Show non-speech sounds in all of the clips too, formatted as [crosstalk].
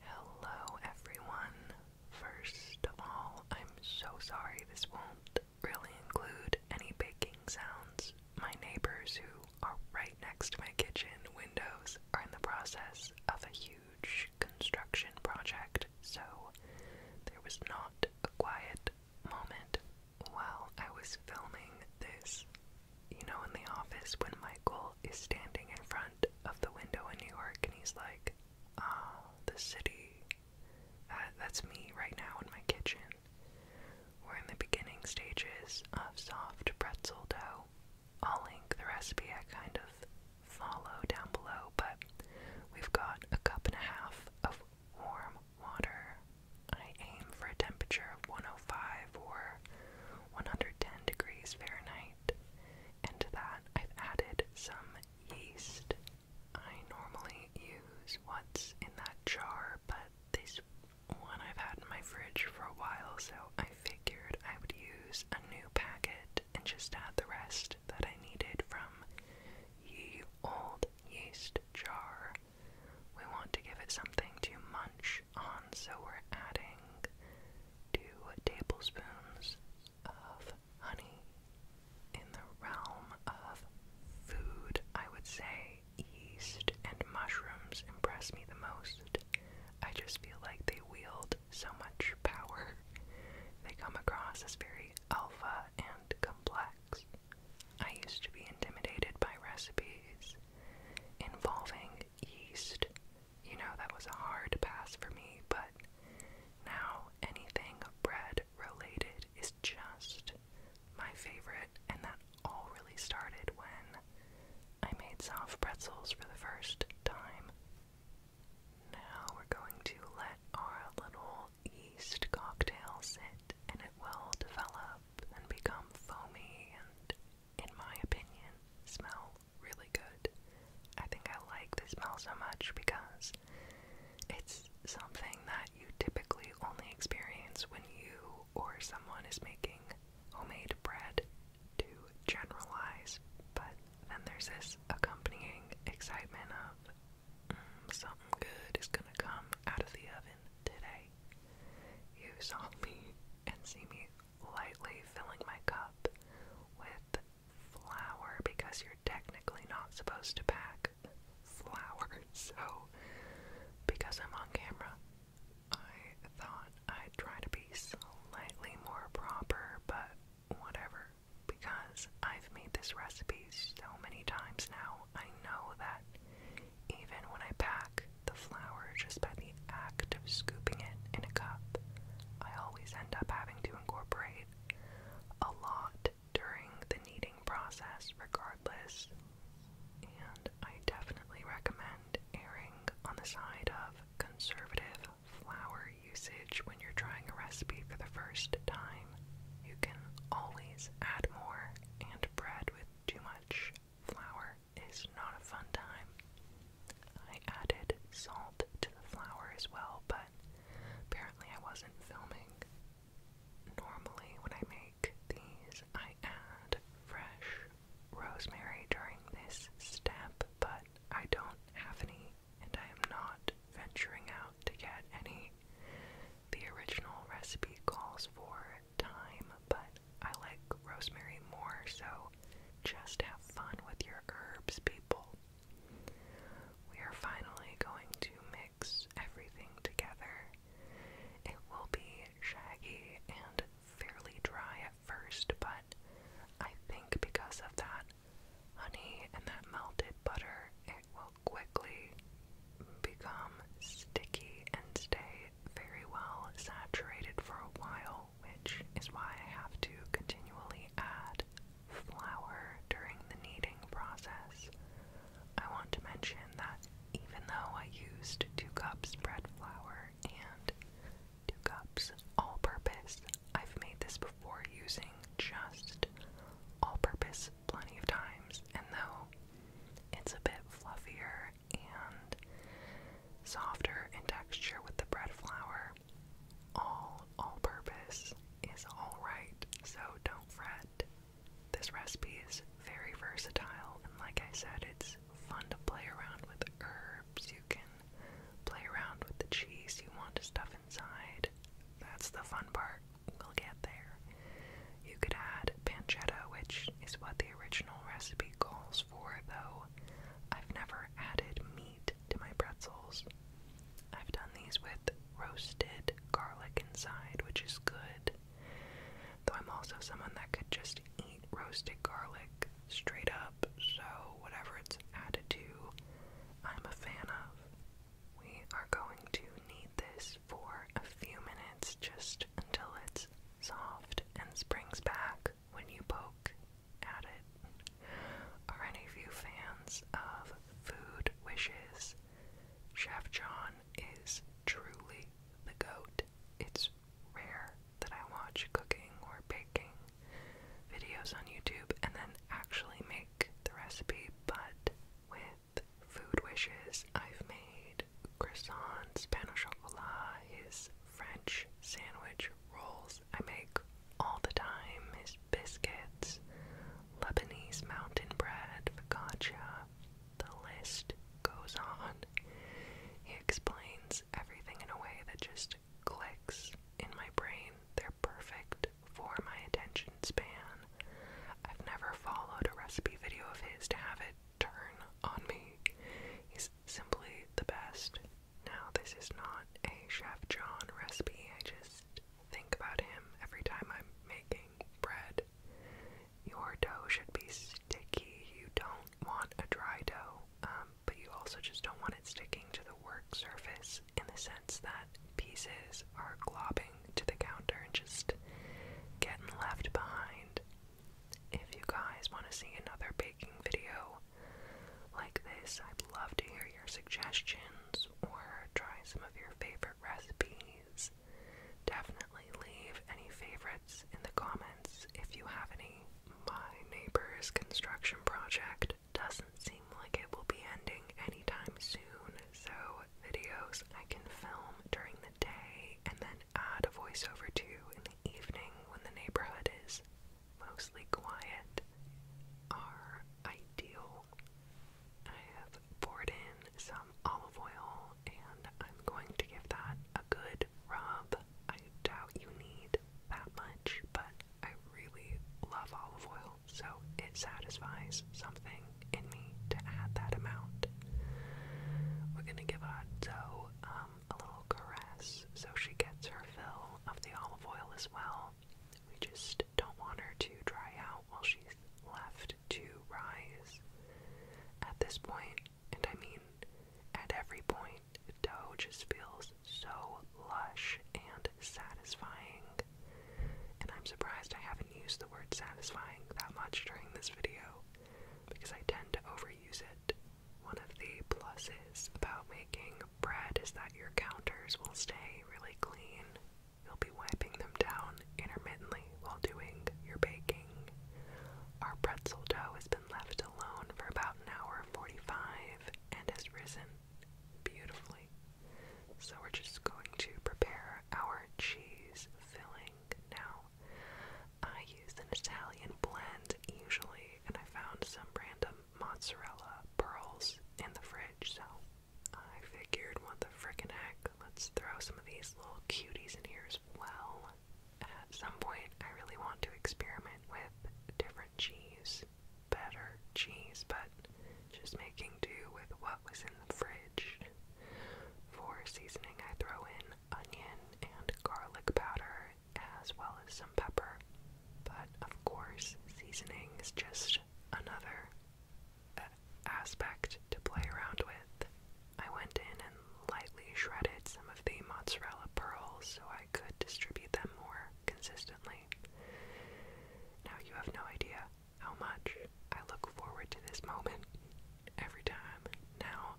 Hello everyone. First of all, I'm so sorry this won't really include any baking sounds. My neighbors who are right next to my kitchen windows are in the process of a huge construction project, so there was not a quiet moment while I was filming this. You know, in the office when Michael is standing in front of the window in New York, and he's like, oh, the city. Uh, that's me right now in my kitchen. We're in the beginning stages of soft pretzel dough. I'll link the recipe I kind of follow down below, but we've got a cup and a half of warm water. I aim for a temperature of 105 or 110 degrees Fahrenheit." and to that I've added some yeast. I normally use what's in that jar, but this one I've had in my fridge for a while, so I figured I would use a new packet and just add the rest that I needed from ye old yeast jar. We want to give it something to munch so we're adding two tablespoons of honey in the realm of food. I would say yeast and mushrooms impress me the most. I just feel like they wield so much power. They come across as very alpha and complex. I used to be intimidated by recipes involving yeast you know, that was a hard pass for me, but now anything bread related is just my favorite, and that all really started when I made soft pretzels for the first time. Now we're going to let our little yeast cocktail sit and it will develop and become foamy and, in my opinion, smell really good. I think I like the smell so much because it's something that you typically only experience when you or someone is making homemade bread to generalize, but then there's this accompanying excitement of mm, something good is gonna come out of the oven today. You saw me and see me lightly filling my cup with flour because you're technically not supposed to pack flour. [laughs] So, because I'm on camera, I thought I'd try to be slightly more proper, but whatever. Because I've made this recipe so many times now, I know that even when I pack the flour just by the act of scooping it in a cup. I always end up having to incorporate a lot during the kneading process, regardless. And I definitely recommend erring on the side of conservative flour usage when you're trying a recipe for the first time. You can always add more and bread with too much flour is not a fun time. I added salt to the flour as well, but apparently I wasn't filming. Normally, when I make these, I add fresh rosemary during this step, but I don't have any, and I am not venturing out to get any. The original recipe calls for thyme, but I like rosemary more, so just have fun with your herbs, people. We are finally going to mix everything together. It will be shaggy and fairly dry at first, but I think because of that honey and that melted butter, it will quickly become sticky and stay very well saturated for a while, which is why I have to continually add flour during the kneading process. I want to mention that even though I used 2 cups bread flour and 2 cups all purpose, I've made this before using just all purpose plenty of times, and though it's a bit fluffier and softer in texture with the bread flour. All all purpose is alright, so don't fret. This recipe is very versatile, and like I said, it's fun to play around with herbs. You can play around with the cheese you want to stuff inside. That's the fun part. We'll get there. You could add pancetta, which is what the original recipe calls for, though. I've never added meat to my pretzels. I've done these with roasted garlic inside, which is good. Though I'm also someone that could just eat roasted garlic straight up, so whatever it's added to, I'm a fan of. We are going to need this for a few minutes just until it's soft and springs back when you poke at it. Are any of you fans of Food Wishes? Chef John is truly the goat. It's rare that I watch cooking or baking videos on YouTube and then actually make the recipe, but with Food Wishes, I've made chocolate croissants, pan chocolat is French sandwich rolls I make all the time, is biscuits, Lebanese mountain bread, focaccia. The list goes on. He explains everything in a way that just clicks in my brain. They're perfect for my attention span. I've never followed a recipe video of his to have it turn on me. He's simply the best. Now, this is not a Chef John recipe, I just think about him every time I'm making bread. Your dough should be sticky. You don't want a dry dough, um, but you also just don't want it sticking to the work surface in the sense that pieces are globbing to the counter and just getting left behind. If you guys want to see another baking video like this, I'd love to hear your suggestions or try some of your favorite recipes. Definitely leave any favorites in the comments if you have any. My neighbor's construction project doesn't seem like it will be ending anytime soon, so videos I can film during the day and then add a voiceover to in the evening when the neighborhood is mostly quiet are ideal. I have poured in some olive oil and I'm going to give that a good rub. I doubt you need that much, but I really love olive oil, so it satisfies something in me to add that amount. We're gonna give our dough um, a little caress so she gets her fill of the olive oil as well. We just don't want her to dry out while she's left to rise. At this point, and I mean at every point, dough just feels so lush and satisfying. And I'm surprised I haven't used the word satisfying that much during this video because I tend to overuse it. One of the pluses about making bread is that your counters will stay really clean. You'll be wiping them down intermittently while doing your baking. Our pretzel dough has been left alone for about an hour and 45 and has risen beautifully. So we're just going to prepare our cheese filling now. I use an Italian blend usually, and I found some random mozzarella pearls in the fridge, so I figured, what the frickin' heck, let's throw some of these little cuties in here as well. At some point, I really want to experiment with different cheese, better cheese, but just making do with what was in the fridge. For seasoning, I throw in onion and garlic powder, as well as some pepper. But of course, seasoning is just another uh, aspect to play around with. I went in and lightly shredded some of the mozzarella pearls so I could distribute them more consistently. Now you have no idea how much I look forward to this moment every time. Now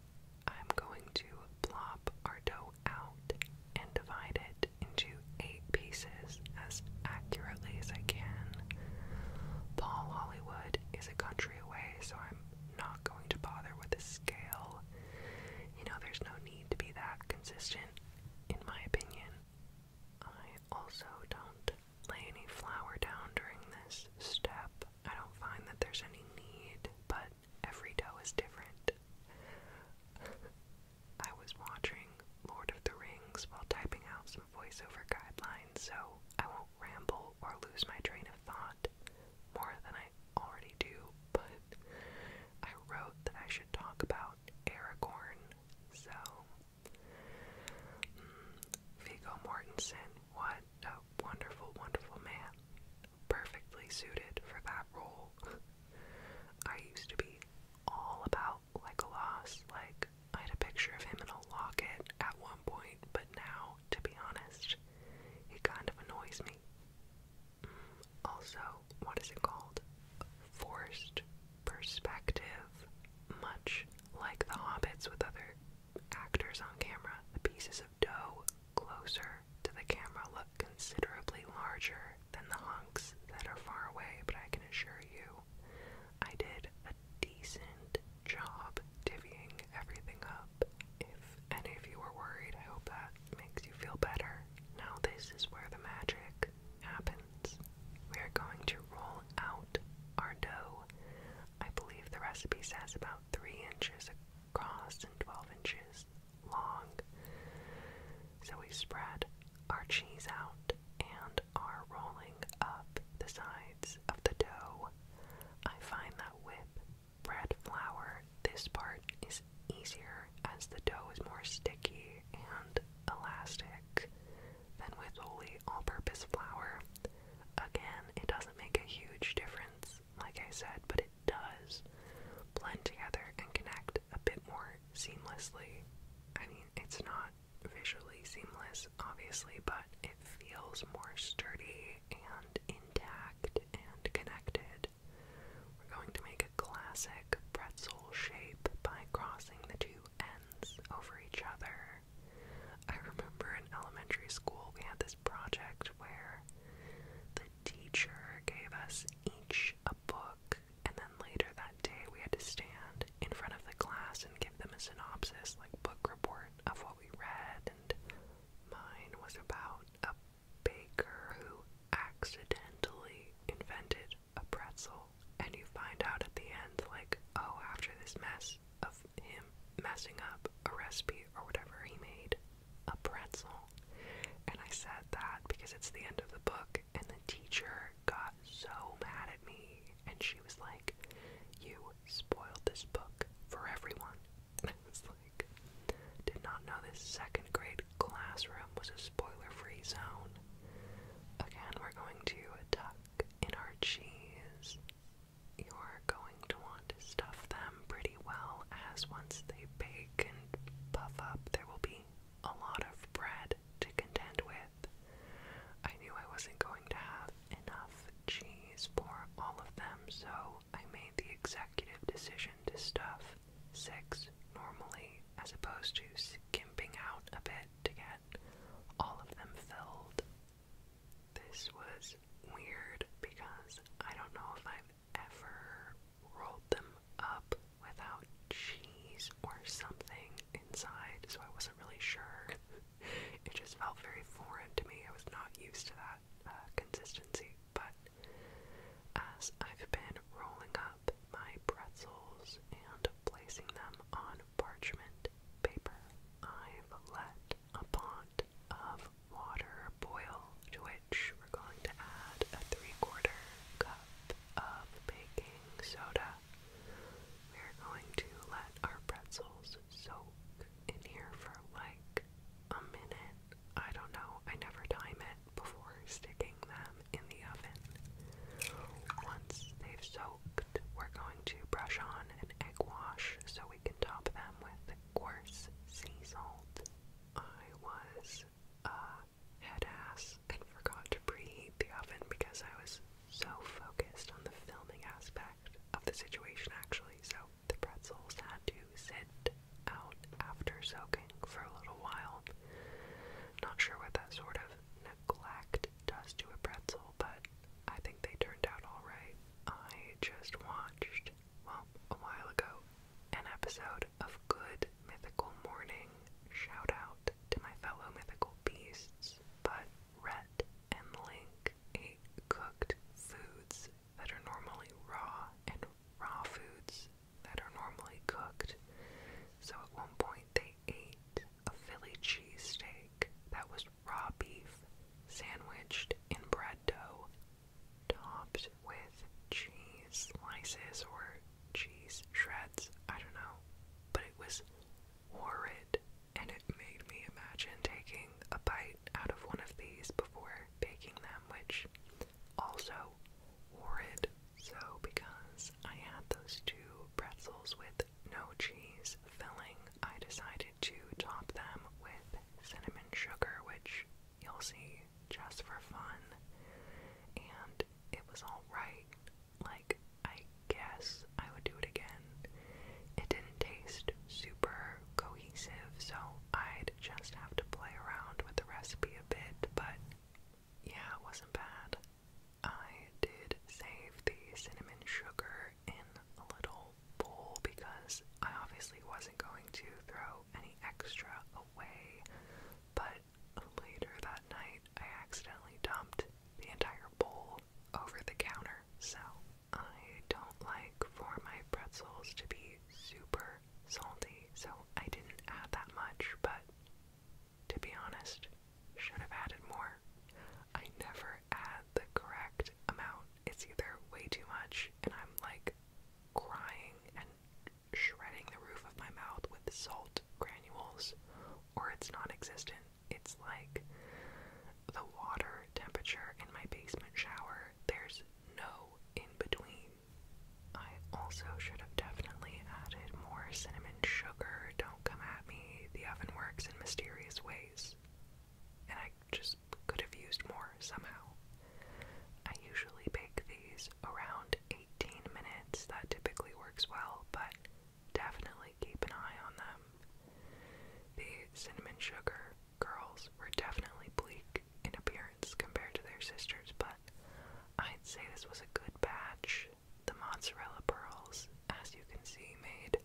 I'm going to plop our dough out and divide it into eight pieces as accurately as I can. Paul Hollywood is a country away, so I'm not going to bother with a scale. You know, there's no need to be that consistent, in my opinion. I also don't lay any flour down during this step. I don't find that there's any need, but every toe is different. [laughs] I was watching Lord of the Rings while typing out some voiceover guidelines, so I won't ramble or lose my train of thought more than I already do, but I wrote that I should talk about Aragorn, so. Mm, Mortensen was a wonderful, wonderful man, perfectly suited for that role. [laughs] I used to be all about like a loss, like I had a picture of him in a locket at one point, but now, to be honest, he kind of annoys me. Mm, also, what is it called? Forced perspective, much like the hobbits with other actors on camera, the pieces of dough closer to the camera look considerably larger than the hunks that are far away, but I can assure you I did a decent job divvying everything up. If any of you were worried, I hope that makes you feel better. Now, this is where the magic happens. We are going to roll out our dough. I believe the recipe says about 3 inches across and 12 inches long. So we spread our cheese out and are rolling up the sides of the dough. I find that with bread flour, this part is easier as the dough is more sticky and elastic than with only all purpose flour. Again, it doesn't make a huge difference, like I said, but it does blend together and connect a bit more seamlessly. I mean, it's not visually seamless, obviously, but it feels more sturdy and intact and connected. We're going to make a classic pretzel shape by crossing the two ends over each other I remember in elementary school we had this project where the teacher gave us each a book, and then later that day we had to stand in front of the class and give them a synopsis, like book report of what we read. And mine was about a baker who accidentally invented a pretzel, and you find out at the end, like, oh, after this mess of him messing up a recipe or whatever. He made a pretzel. And I said that because it's the end of the book, and the teacher got so mad at me. And she was like, You spoiled this book for everyone. [laughs] Did not know this second grade classroom was a spoiler free zone. Again, we're going to tuck in our cheese you're going to want to stuff them pretty well, as once they bake and puff up, there will be a lot of bread to contend with. I knew I wasn't going to have enough cheese for all of them, so I made the executive decision to stuff six normally, as opposed to skimping out a bit to get all of them filled this was weird because I don't know if I've ever rolled them up without cheese or something inside, so I wasn't really sure. [laughs] it just felt very foreign to me. I was not used to that uh, consistency. But as I've been rolling up my pretzels and placing them on parchment paper, I've let a pond of water boil to which we're going to add a three quarter cup of baking soda. We're going to let our pretzels soak in here for like a minute. I don't know, I never time it before sticking them in the oven. Once they've soaked, we're going to brush on an egg wash so we can top them with coarse sea salt. I was a uh, head ass and forgot to preheat the oven because I was so focused on the filming aspect of the situation actually, so the pretzels had to sit out after soaking for a little while. Not sure what that sort of neglect does to a pretzel, but I think they turned out alright. I just watched, well, a while ago, an episode of Good Mythical Morning. Shout out to my fellow mythical beasts, but Red and Link ate cooked foods that are normally raw and raw foods that are normally cooked. So at one point they ate a Philly cheesesteak that was raw beef sandwiched in bread dough, topped with cheese slices or cheese shreds. I don't know. But it was horrid, and it made me imagine taking a bite out of one of these before baking them, which also horrid. So, because I had those two pretzels with no cheese filling, I decided to top them with cinnamon sugar, which you'll see just for fun. And it was alright. Like, I guess I would do it again. It didn't taste super cohesive, so I'd just have to play around with the recipe a bit, but yeah, it wasn't bad. I did save the cinnamon sugar in a little bowl because I obviously wasn't going to throw any extra away, but later that night I accidentally dumped the entire bowl over the counter. So I don't like for my pretzels to be super salty, so I didn't add that much, but to be honest, should have added more. I never add the correct amount. It's either way too much and I'm like crying and shredding the roof of my mouth with salt granules, or it's non existent. It's like the water temperature in my basement shower. There's no in between. I also should have definitely added more cinnamon sugar. Don't come at me. The oven works in mysterious ways and I just could have used more somehow. I usually bake these around 18 minutes, that typically works well, but definitely keep an eye on them. The cinnamon sugar girls were definitely bleak in appearance compared to their sisters, but I'd say this was a good batch. The mozzarella pearls, as you can see, made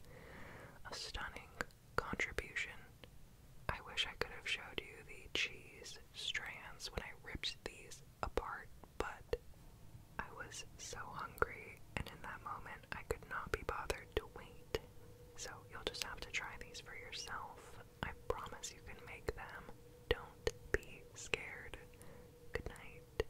a stunning contribution. I wish I could have showed you the cheese strands when I ripped these apart, but I was so hungry, and in that moment, I could not be bothered to wait. So you'll just have to try these for yourself. I promise you can make them. Don't be scared. Good night.